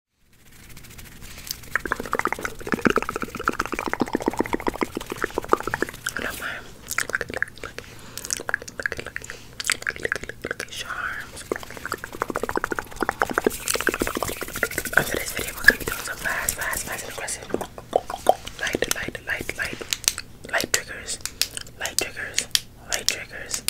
Look, look, look, look at charms. After this video, we're gonna be doing some fast, fast, fast, and aggressive light, light, light, light, light triggers, light triggers, light triggers,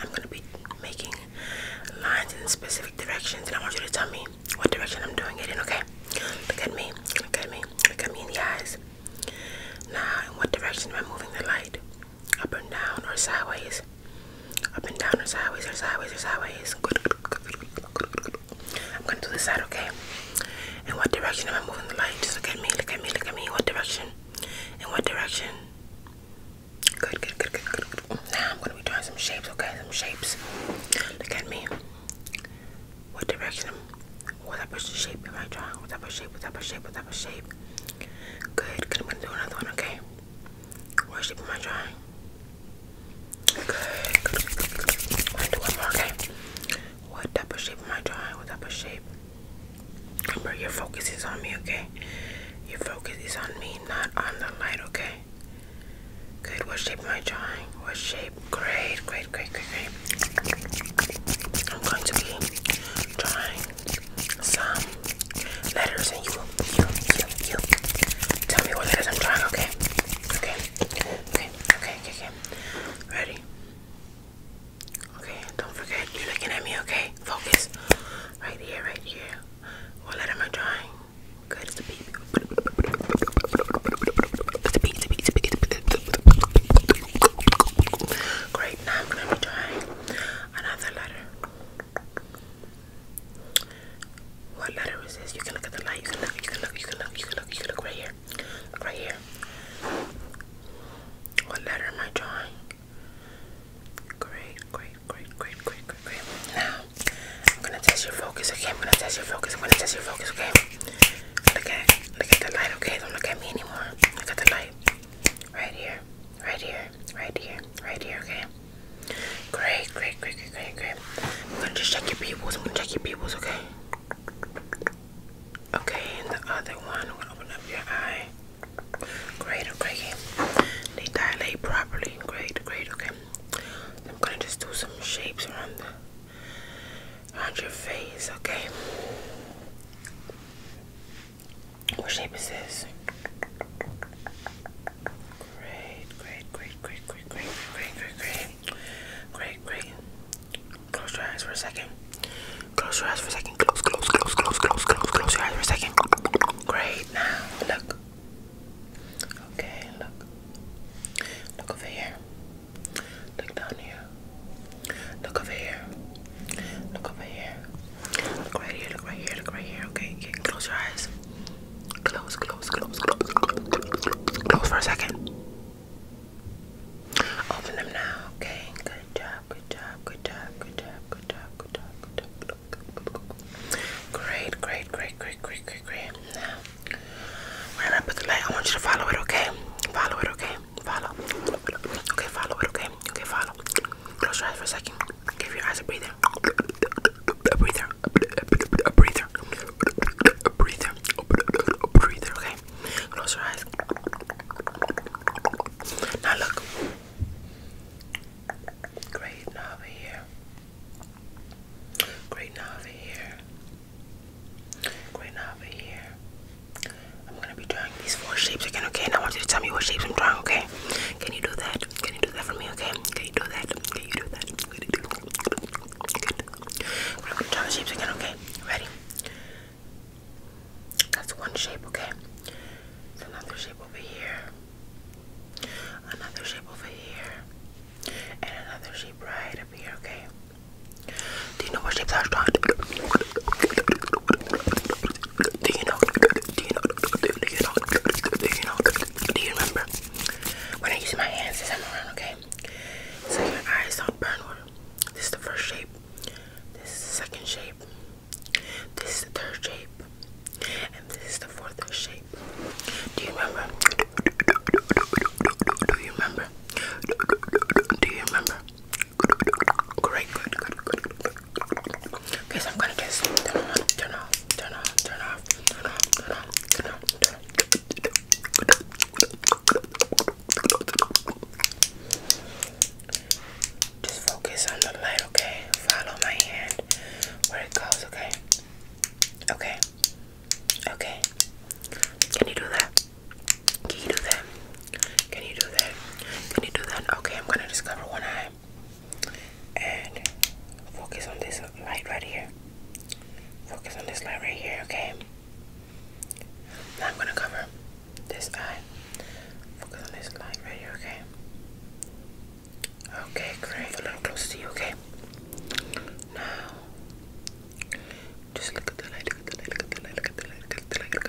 I'm gonna be making lines in specific directions, and I want you to tell me what direction I'm doing it in. Okay? Look at me. Look at me. Look at me in the eyes. Now, in what direction am I moving the light? Up and down or sideways? Up and down or sideways or sideways or sideways? I'm gonna do this side. Okay? In what direction am I moving the light? Just look at me. Look at me. Look at me. What direction? In what direction? Good, good, good, good, good, Now I'm gonna be drawing some shapes, okay? Some shapes. Look at me. What direction? What type of shape am I drawing? What type of shape? What type of shape? What type of shape? Good, good. I'm gonna do another one, okay? What shape am I drawing? Good, good, i do one more, okay? What type of shape am I drawing? What type of shape? But your focus is on me, okay? Your focus is on me, not on the light, okay? Good. What shape am I drawing? What shape? Great, great, great, great, great. I'm going to be drawing some letters, and you, you, you, you. Tell me what letters I'm drawing, okay? Okay. Okay. Okay. Okay. okay. Ready? Okay, don't forget, you're looking at me, okay? Focus. Right here, right here. What letter am I drawing? Good, it's a B. Great, now I'm gonna be drawing another letter. What letter is this? You can look at the light, you can look, you can look, you can look, you can look, you can look right here. right here. What letter am I drawing? Great, great, great, great, great, great, great. Now, I'm gonna test your focus, okay? I'm gonna test your focus, I'm gonna test your focus, okay? Look at look at the light, okay? Don't look at me anymore. Look at the light. Right here, right here, right here, right here, okay? Great, great, great, great, great, great. I'm gonna just check your pupils, I'm gonna check your pupils, okay? Okay, and the other one will open up your eye. Great, okay. They dilate properly. Great, great, okay. I'm gonna just do some shapes around the around your face, okay. What shape is this? Great, great, great, great, great, great, great, great, great, great, great. Close your eyes for a second. Close your eyes for a second. Close, close, close, close, close, close, close your eyes for a second. Great. Now look. Okay, look. Look over here. Look down here. Look over here. Look over here. Look right here. Look right here. Look right here. Okay. okay. Close your eyes. Close, close, close, close, close, close, close, close for a second. Open them now, okay? Good job, good job, good job, good job, good job, good job, good job. Good job, good job. Great, great, great, great, great, great, great. Now, when I put the light, I want you to follow it, okay? Follow it, okay? Follow. Okay, follow it, okay? Okay, follow. Close your eyes for a second. Give your eyes a breather. A breather. A breather. A breather. A breather. A breather. Okay. Close your eyes. Now look. Great knob over here. Great knob over here. Great knob over here. I'm gonna be drawing these four shapes again, okay? And I want you to tell me what shapes I'm drawing, okay? Can you do that? Can you do that for me, okay? Can you do that? Can you do that? Good. Good. gonna draw the shapes again, okay? Ready? That's one shape, okay? another shape over here, another shape over here, and another shape right up here, okay? Do you know what shapes I was Do you know? Do you know? Do you know? Do you know? Do you remember? When I use my hands this time around, okay? So your eyes don't burn this is the first shape. This is the second shape. This is the third shape. And this is the fourth shape. Do you remember? Do you remember? Do you remember? Great, Okay, so I'm gonna get turn off, turn off, turn off, turn off, turn off, turn off, turn off. Just focus on the light, okay? Follow my hand where it goes, okay? Okay. Okay. Can you do that? Can you do that? Can you do that? Can you do that? Okay, I'm gonna discover one eye and focus on this light right here. Focus on this light right here, okay? I'm gonna cover this eye. Focus on this line right okay? Okay, great. A little closer to you, okay? Now, just look at the light, look at the light, look at the light, look at the light. Look at the light.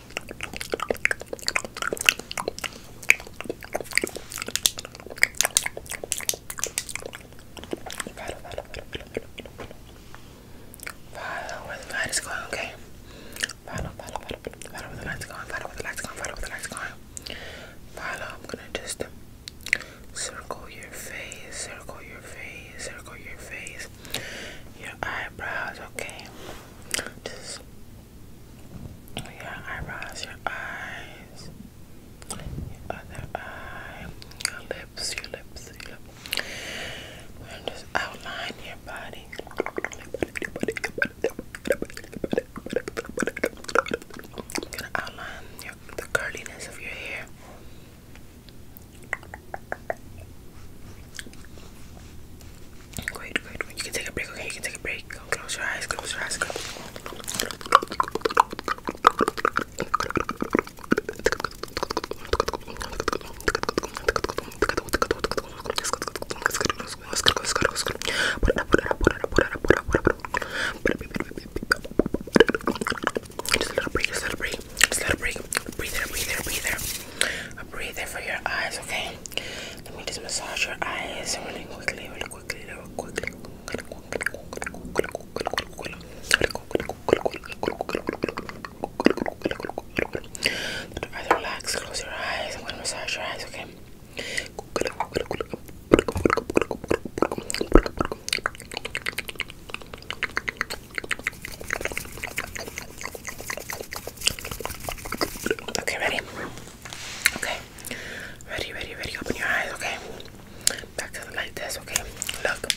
Follow, follow, follow, follow, where the light is going, okay? Follow, follow, follow, follow where the light's going, follow where the light's going, follow where the light's going. Follow, I'm gonna just circle your face, circle your face, circle your face, your eyebrows, okay? Just your eyebrows, your eyes, your other eye, your lips, your lips, your lips. And just outline your body. gonna outline the curliness of your hair. Great, great. When you can take a break, okay? You can take a break. Close your eyes, close your eyes. Close. Just a little break, just a little break, just let it breathe. Breathe there, breathe there, breathe there. Breathe there for your eyes, okay? Let me just massage your eyes really quickly, really quickly, really quickly. Let your eyes relax, close your eyes. I'm gonna massage your eyes, okay? Okay, ready? Okay. Ready, ready, ready. Open your eyes, okay? Back to the light this, okay? Look.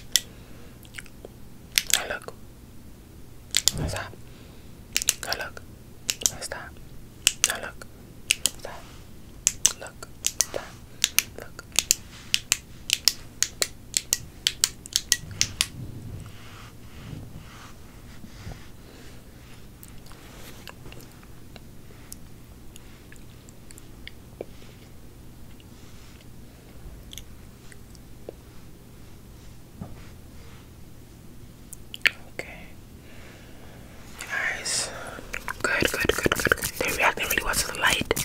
Now look. Now stop. Now look. Now stop. Now look. Stop. Look. Stop. Look. Okay. Nice. Good, good, good, good, they reacted really well to the light.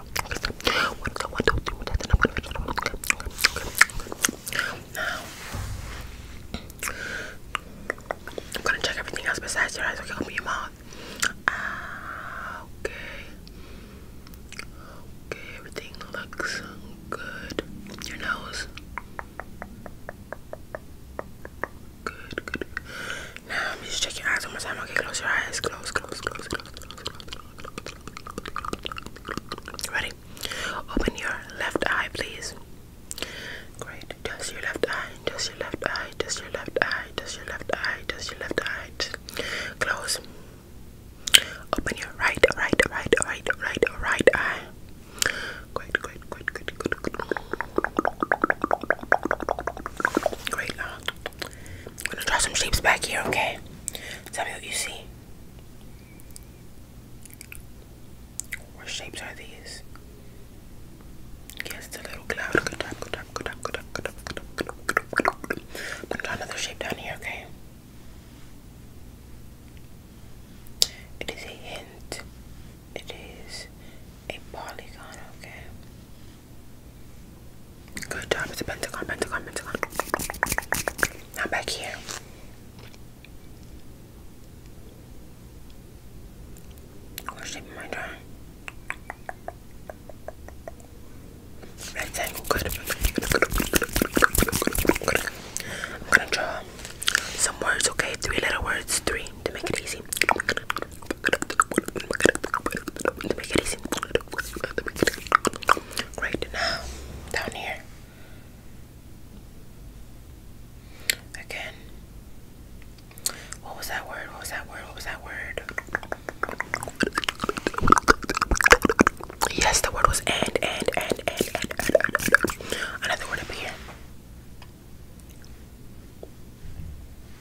I'm gonna check everything else besides your eyes. Okay, your mouth. Ah, okay. Okay, everything looks good. Your nose. Good, good. Now, I'm just check eyes one more time. Okay, close your eyes. Close, close, close, close. Ready? Open your left eye, please. Great. Just your left eye. Just your left eye. Just your left eye. Just your left eye. Just your left eye. Close. Open your right, right, right, right, right, right eye. Great, great, great, good, good, good. Great. I'm gonna draw some shapes back here, okay? Tell me what you see. What shapes are these? Yes, the little cloud. good job, good job, good job, good job, good job, good job, good job, good job, good job. I'm gonna draw another shape down here, okay? It is a hint. It is a polygon, okay? Good job. It's a pentagon, pentagon, pentagon. Now back here. What shape am I drawing? Rectangle. Good. I'm gonna draw some words, okay? Three letter words, three to make it easy. Right now, down here. Again. What was that word? What was that word? What was that word? Yes, the word was and, and, and, and, and, and, and, and. Another word up here.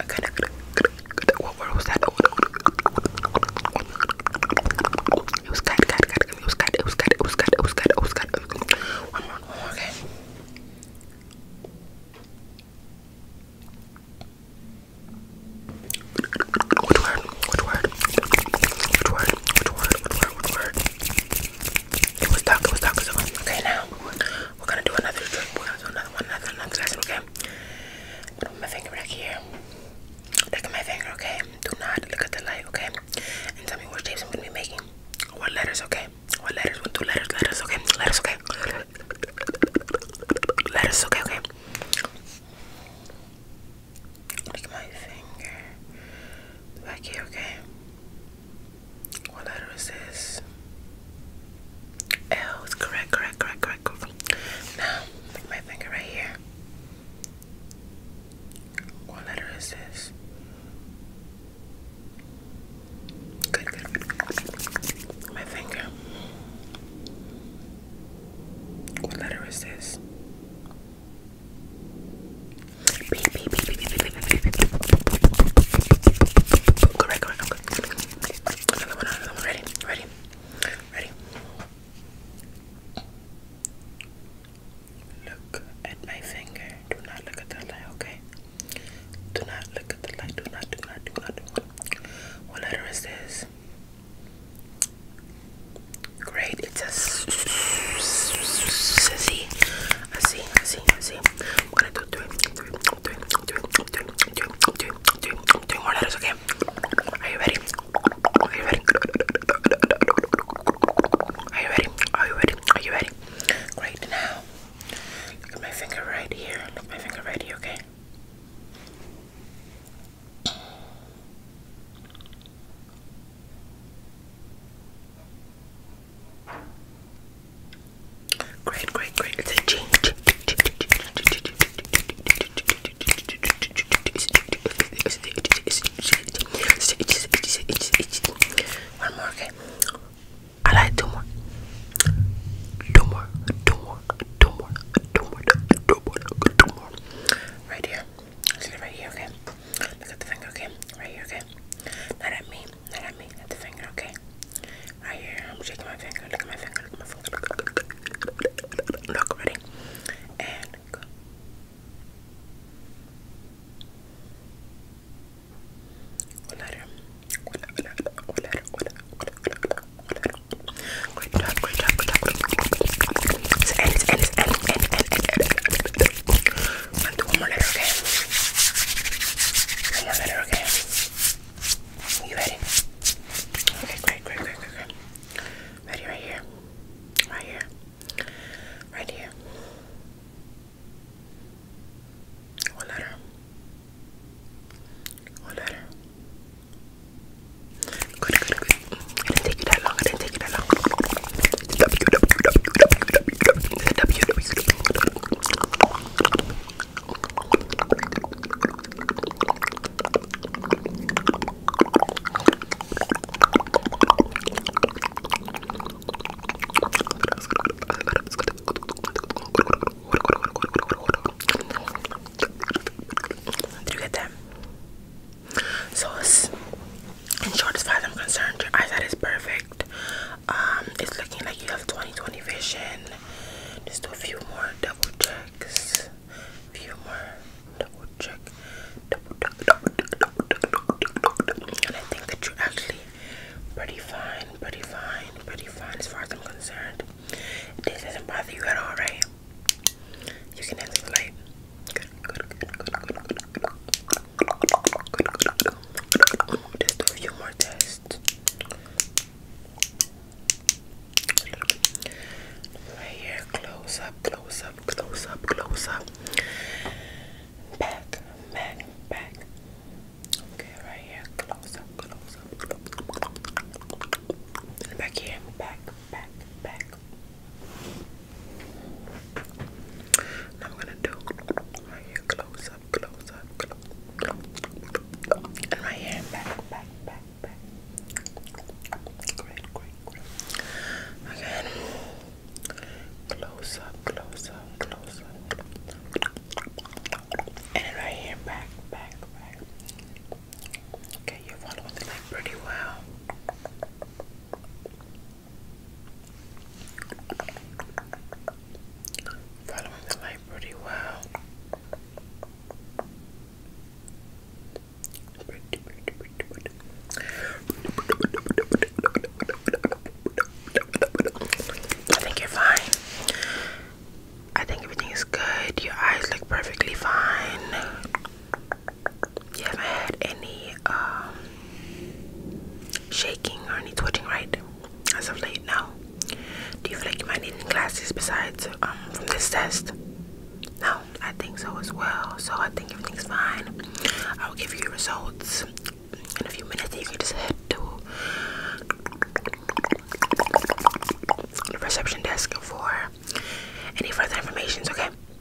Okay, what was that? It was cut, cut, cut. It was cut. It was cut. It was cut. It was cut. It was cut. One more, one more. Okay. Which word? Which word? Which word? Which word? Which word? Which word? It was dark. It was dark. It was dark. Okay, now we're gonna do another We're gonna do another one, another one, another one, okay? put my finger back here. Look at my finger, okay? Do not look at the light, okay? And tell me what shapes I'm gonna be making. What letters, okay? What letters? What two letters? Letters, okay? Letters, okay? Letters, okay, okay? Look at my finger. Back here, okay? What letter is this? L is correct, correct, correct, correct, Now, my finger right here. What letter is this? Good, good, My finger. What letter is this? Good, right, good, right, good. Another one, another one. Ready, ready, ready. Look at my finger. Do not look at the light, okay? Do not look at the light. Do not, do not, do not, do not. What letter is this? Great, it's a sissy. I see, I see, I see. I'm gonna do three, three, three, three, three, three, three, three, three more letters, okay? Are you ready? Are you ready? Are you ready? Are you ready? Are you ready? Great now. Look at my finger right here. Look at my finger right here, okay? Great, great, great. It's a change. One more, okay? I like two more. Two more, two more, two more, two more, two more, two more. Right here. Let's get it right here, okay? Look at the finger, okay? Right here, okay? Not at me. Not at me, at the finger, okay? Right here, I'm shaking my finger, look at my finger, look at my finger. Look, ready? And go. What letter? What letter? What letter? What letter? What letter? Great job, great job, great job. It's end, it's end, it's end, end, end, end, end, end one more letter, okay? One more letter, okay? You ready? Okay, great, great, great, great, Ready right here. Right here. Right here. One letter? One letter? Good, good, good. It didn't take you that long. It didn't take you that long. Did you get that? Sauce in short, as far as I'm concerned, your eyesight is perfect. Um, it's looking like you have 20/20 vision. Just do a few more double checks. A few more double check. Double, double, double, double, double, double, double. And I think that you're actually pretty fine, pretty fine, pretty fine as far as I'm concerned. This doesn't bother you at all, right? You can end the light. Just a few more tests. Right here, close up, close up, close up, close up. Back, back, back. Okay, right here, close up, close up. Back here, back, back, back. I'm gonna do right here, close up, close up, close, and right here, back, back, back, back. Great, great, great. Again, close up, close and right here, back, back, back. Okay, you followed the pretty well. Following the light pretty well. I think you're fine. I think everything is good. Your eyes look perfectly fine. You haven't had any um, shaking or any twitching, right? As of late, no. Do you feel like you might need any glasses besides um, from this test? No, I think so as well. So I think everything's fine. I'll give you results in a few minutes, you can just head to the reception desk for any further information. Okay.